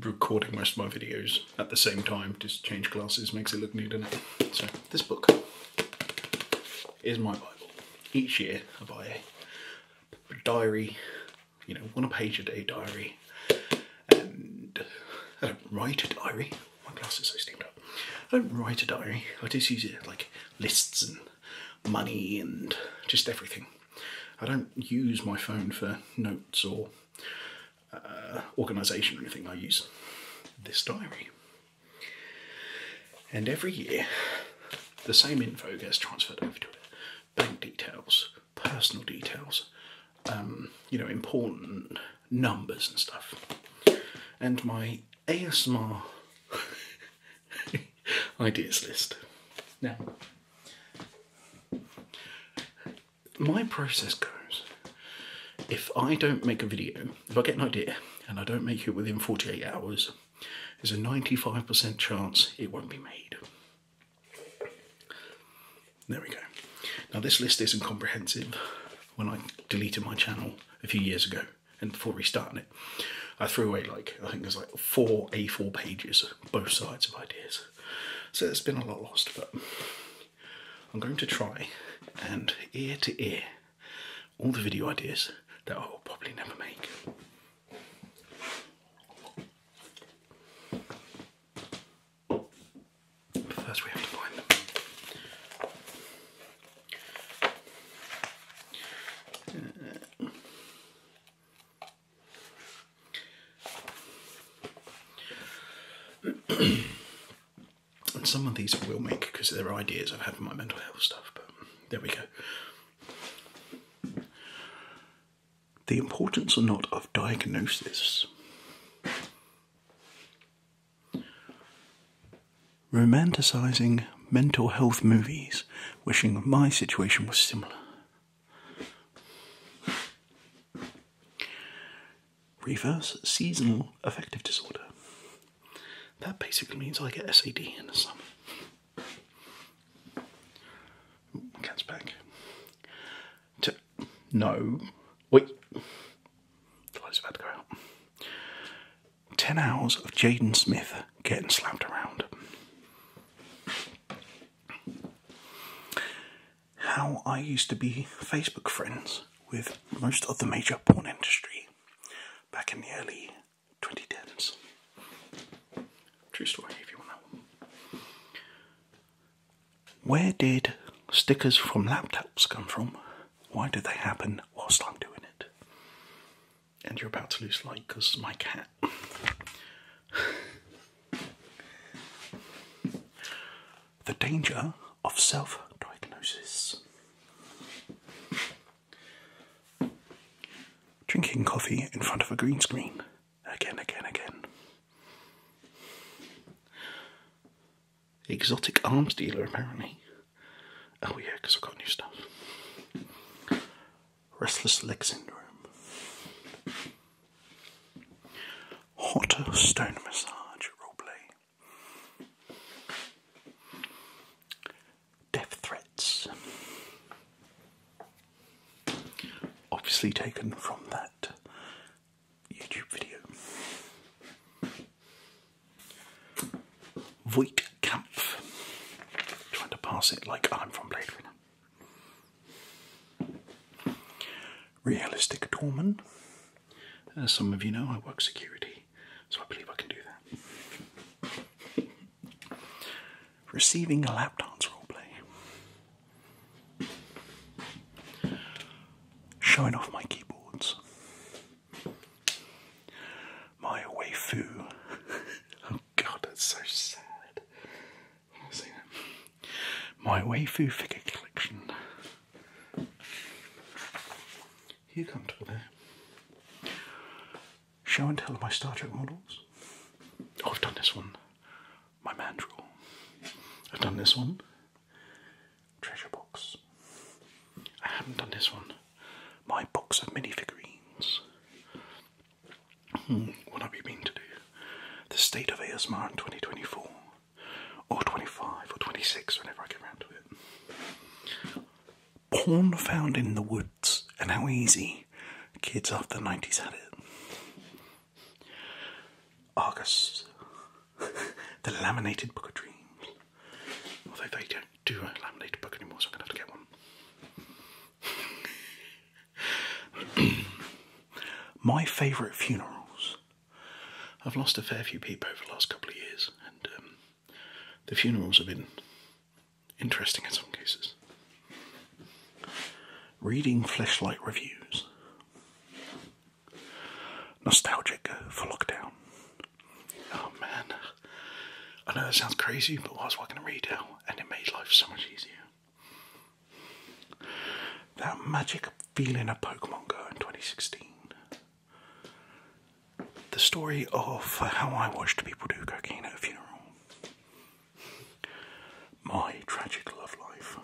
recording most of my videos at the same time, just change glasses makes it look new, does it? So this book is my Bible. Each year I buy a diary, you know, one page a day diary, and I don't write a diary. My glasses are steamed up. I don't write a diary, I just use it like lists and money and just everything. I don't use my phone for notes or uh, organisation or anything. I use this diary. And every year, the same info gets transferred over to it. Bank details, personal details, um, you know, important numbers and stuff. And my ASMR ideas list. Now, my process goes if I don't make a video, if I get an idea and I don't make it within 48 hours, there's a 95% chance it won't be made. There we go. Now this list isn't comprehensive. When I deleted my channel a few years ago and before restarting it, I threw away like, I think there's like four A4 pages, both sides of ideas. So it's been a lot lost, but I'm going to try and ear to ear all the video ideas that I will probably never make. first, we have to find them. Uh, and some of these I will make because they're ideas I've had for my mental health stuff, but there we go. The importance or not of diagnosis. Romanticising mental health movies, wishing my situation was similar. Reverse seasonal affective disorder. That basically means I get SAD in the summer. cat's back. no, wait. Flies about to go out. Ten hours of Jaden Smith getting slapped around how I used to be Facebook friends with most of the major porn industry back in the early 2010s. True story, if you want Where did stickers from laptops come from? Why did they happen whilst I'm doing it? And you're about to lose light because my cat the danger of self diagnosis. Drinking coffee in front of a green screen. Again, again, again. Exotic arms dealer, apparently. Oh, yeah, because I've got new stuff restless leg syndrome, hot stone massage roleplay, death threats, obviously taken from that YouTube video. Voigt Kampf. Trying to pass it like I'm from Blade Runner. Realistic doorman. As some of you know, I work security, so I believe I can do that. Receiving a laptop's dance roleplay. Showing off my keyboards. My waifu. oh god, that's so sad. I've seen My waifu figure collection. You comfortable there? Show and tell of my Star Trek models. Oh, I've done this one. My mandrel. I've done this one. Treasure box. I haven't done this one. My box of minifigurines. Hmm, what have you been to do? The state of ASMR in 2024 or 25 or 26, whenever I get around to it. Porn found in the woods and how easy kids of the 90s had it. Argus, the laminated book of dreams. Although they don't do a laminated book anymore, so I'm gonna have to get one. My favourite funerals. I've lost a fair few people over the last couple of years, and um, the funerals have been interesting in some cases. Reading fleshlight reviews. Nostalgic for lockdown. Oh man. I know that sounds crazy, but what I was working to read out, and it made life so much easier. That magic feeling of Pokemon Go in 2016. The story of how I watched people do cocaine at a funeral. My tragic love life.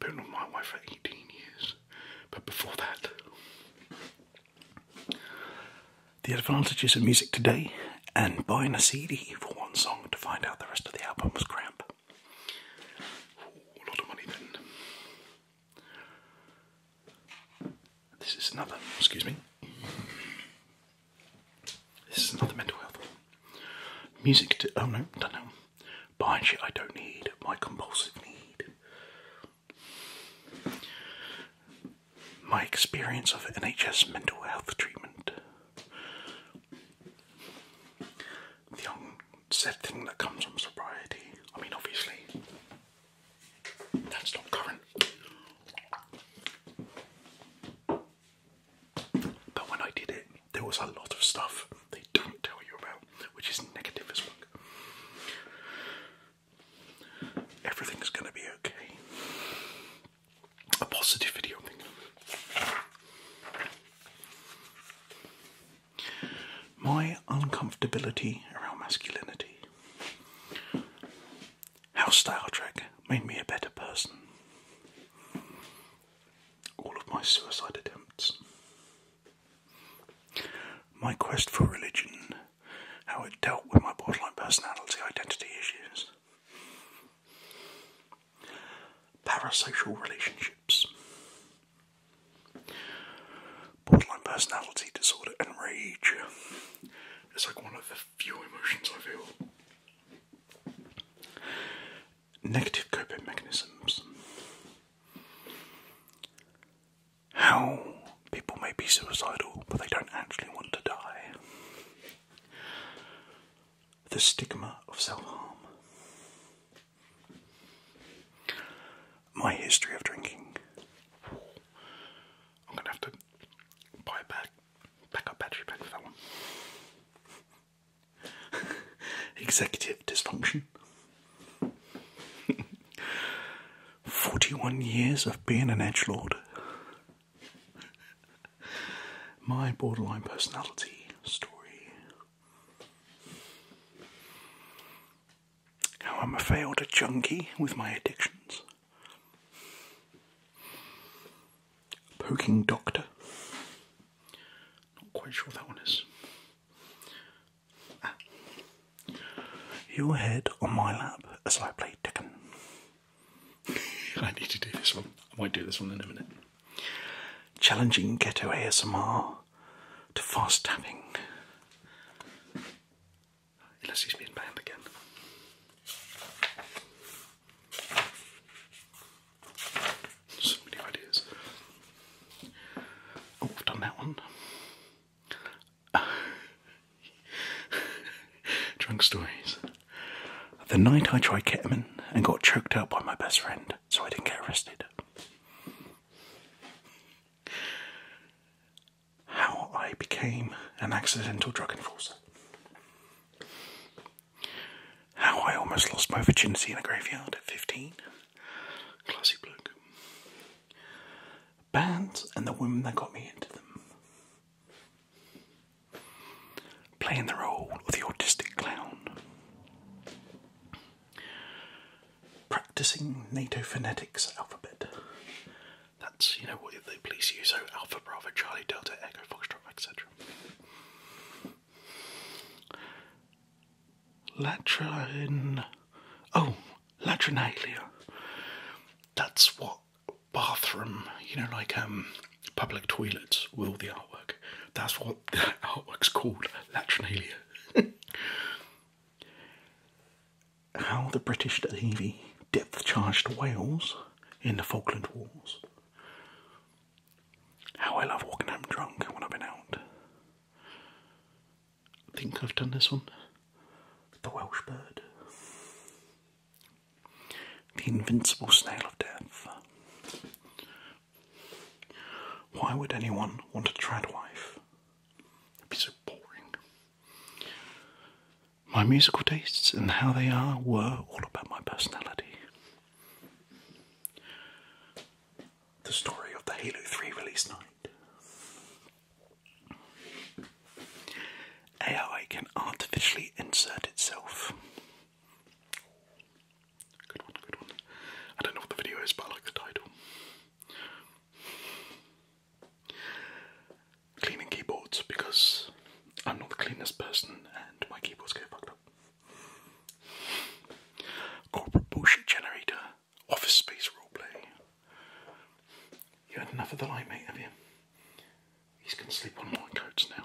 Been with my wife for 18 years, but before that, the advantages of music today and buying a CD for one song to find out the rest of the album was crap. a lot of money then. This is another, excuse me. This is another mental health. Music oh no, don't know. Buying shit I don't need, my compulsive need. My experience of NHS mental health treatment. The unsaid thing that comes from sobriety. I mean, obviously, that's not current. But when I did it, there was a lot of stuff they don't tell you about, which is negative as well. Everything's going to be okay a positive video My uncomfortability around masculinity. How Star Trek made me a better person. All of my suicide attempts. My quest for religion. How it dealt with my borderline personality identity issues. Parasocial relationships. Borderline personality disorder and rage. It's like one of the few emotions I feel. Negative coping mechanisms. How people may be suicidal but they don't actually want to die the stigma of self harm. My history of drinking. I'm gonna have to buy a back, back battery pack for that one. Executive dysfunction. 41 years of being an edge lord. my borderline personality story. How I'm a failed junkie with my addictions. Poking Doctor. Not quite sure that one is. Ah. Your head on my lap as I play Tekken. I need to do this one. I might do this one in a minute. Challenging ghetto ASMR to fast tapping. Unless he's been banned again. So many ideas. Oh, I've done that one. Drunk stories. The night I tried ketamine and got choked out by my best friend, so I didn't get arrested. How I became an accidental drug enforcer. How I almost lost my virginity in a graveyard at 15. Classy bloke. Bands and the women that got me into them playing the role of the autistic clown. Practicing NATO phonetics alphabet. That's, you know, what they please use, so Alpha, Bravo, Charlie, Delta, Echo, Foxtrot, etc. Latrin. Oh, latrinalia. That's what bathroom, you know, like um public toilets with all the artwork. That's what what artwork's called, Latrinalia. How the British Navy depth charged Wales in the Falkland Wars. How I love walking home drunk when I've been out. I think I've done this one. The Welsh Bird. The Invincible Snail of Death. Why would anyone want a tradwife? It'd be so boring. My musical tastes and how they are were all about my personality. The story of the Halo 3 release night. AI can artificially insert itself. Good one, good one. I don't know what the video is, but I like the title. Cleaning keyboards because I'm not the cleanest person and my keyboards get fucked up. Corporate bullshit generator, office space roleplay. You had enough of the light, mate, have you? He's gonna sleep on my coats now.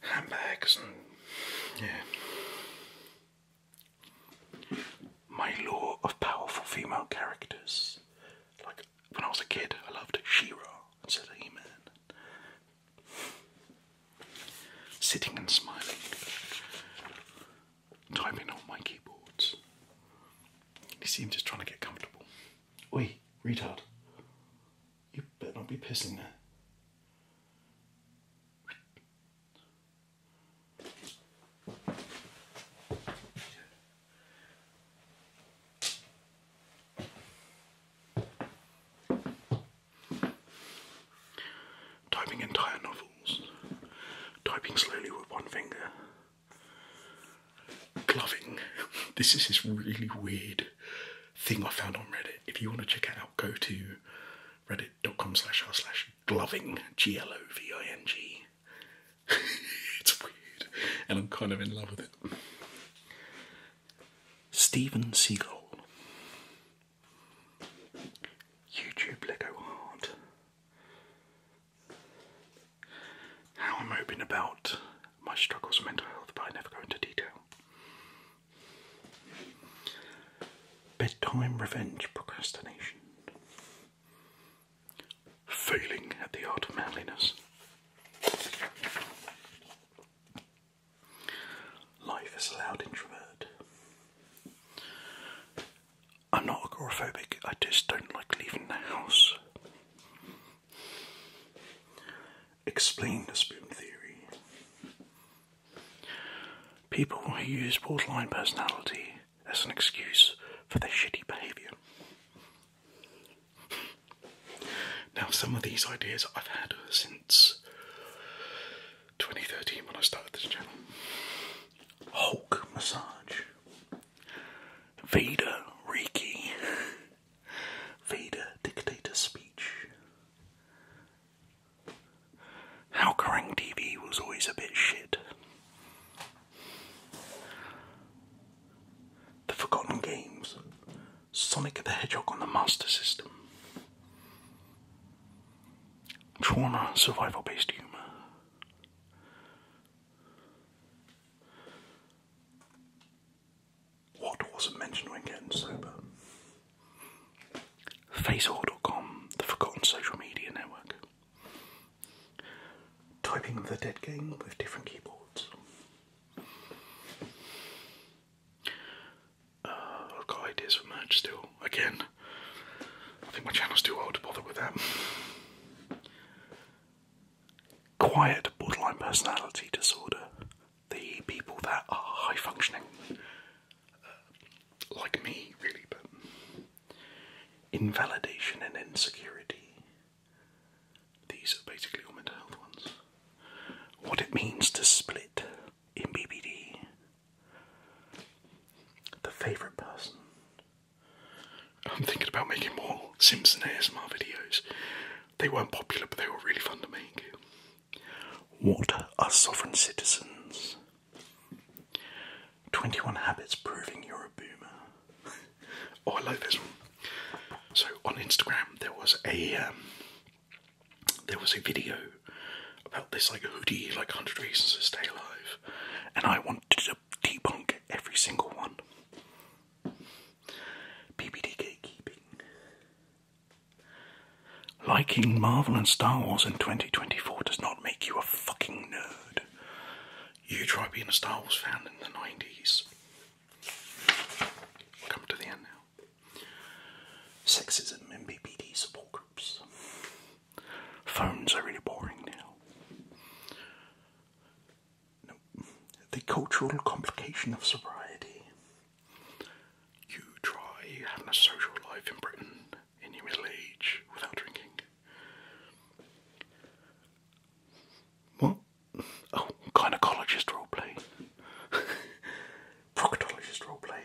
handbags and yeah. My law of powerful female characters. Like when I was a kid, I loved Shira ra instead Sitting and smiling, typing on my keyboards. He seemed just trying to get comfortable. Oi, retard! You better not be pissing there. Typing entire novels, typing slowly with one finger, gloving. This is this really weird thing I found on Reddit. If you want to check it out, go to reddit.com slash r slash gloving, G L O V I N G. it's weird, and I'm kind of in love with it. Steven Seagal. YouTube Lego Hard. How I'm open about my struggles with mental health, but I never go into detail. Bedtime revenge procrastination. Failing at the art of manliness. Life is a loud introvert. I'm not agoraphobic, I just don't like leaving the house. Explain the spoon theory. People who use borderline personality as an excuse for their shitty behaviour. Now, some of these ideas I've had since 2013 when I started this channel Hulk massage, Vader Reiki, Vader dictator speech, Halkerang TV was always a bit shit. The Forgotten Games, Sonic the Hedgehog on the Master System, Trauma Survival Based Humour. What wasn't mentioned when getting sober? Facehor.com, the forgotten social media network. Typing the Dead game with different keyboards. Uh, I've got ideas for merch still. Again, I think my channel's too old to bother with them. Quiet borderline personality disorder. The people that are high functioning like me, really, but invalidation and insecurity. These are basically all mental health ones. What it means to split in BBD. The favourite person. I'm thinking about making more Simpson ASMR videos. They weren't popular, but they were really fun to make. What are sovereign citizens? 21 habits proving you're a boomer. oh, I like this one. So on Instagram there was a um, there was a video about this like hoodie, like 100 reasons to stay alive, and I wanted to debunk every single one. BBD gatekeeping. Liking Marvel and Star Wars in 2024 does not make you a fucking nerd. You try being a Star Wars fan in the 90s. come to the end now. Sexism and BPD support groups. Phones are really boring now. The cultural complication of sobriety. You try having a social life in Britain in your middle age without drinking. What? Oh, gynecologist roleplay. Proctologist roleplay.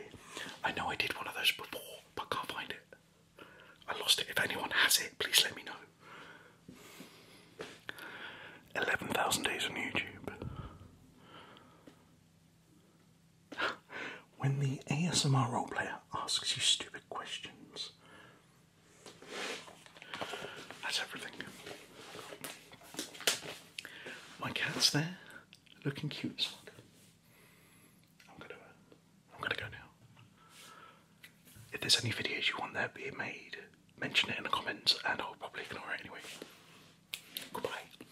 I know I did one of those before, but can't find it. I lost it. If anyone has it, please let me know. 11,000 days on YouTube when the ASMR role player asks you stupid questions. That's everything. My cat's there, looking cute as fuck. I'm gonna, I'm gonna go now. If there's any videos you want there being made, mention it in the comments, and I'll probably ignore it anyway. Goodbye.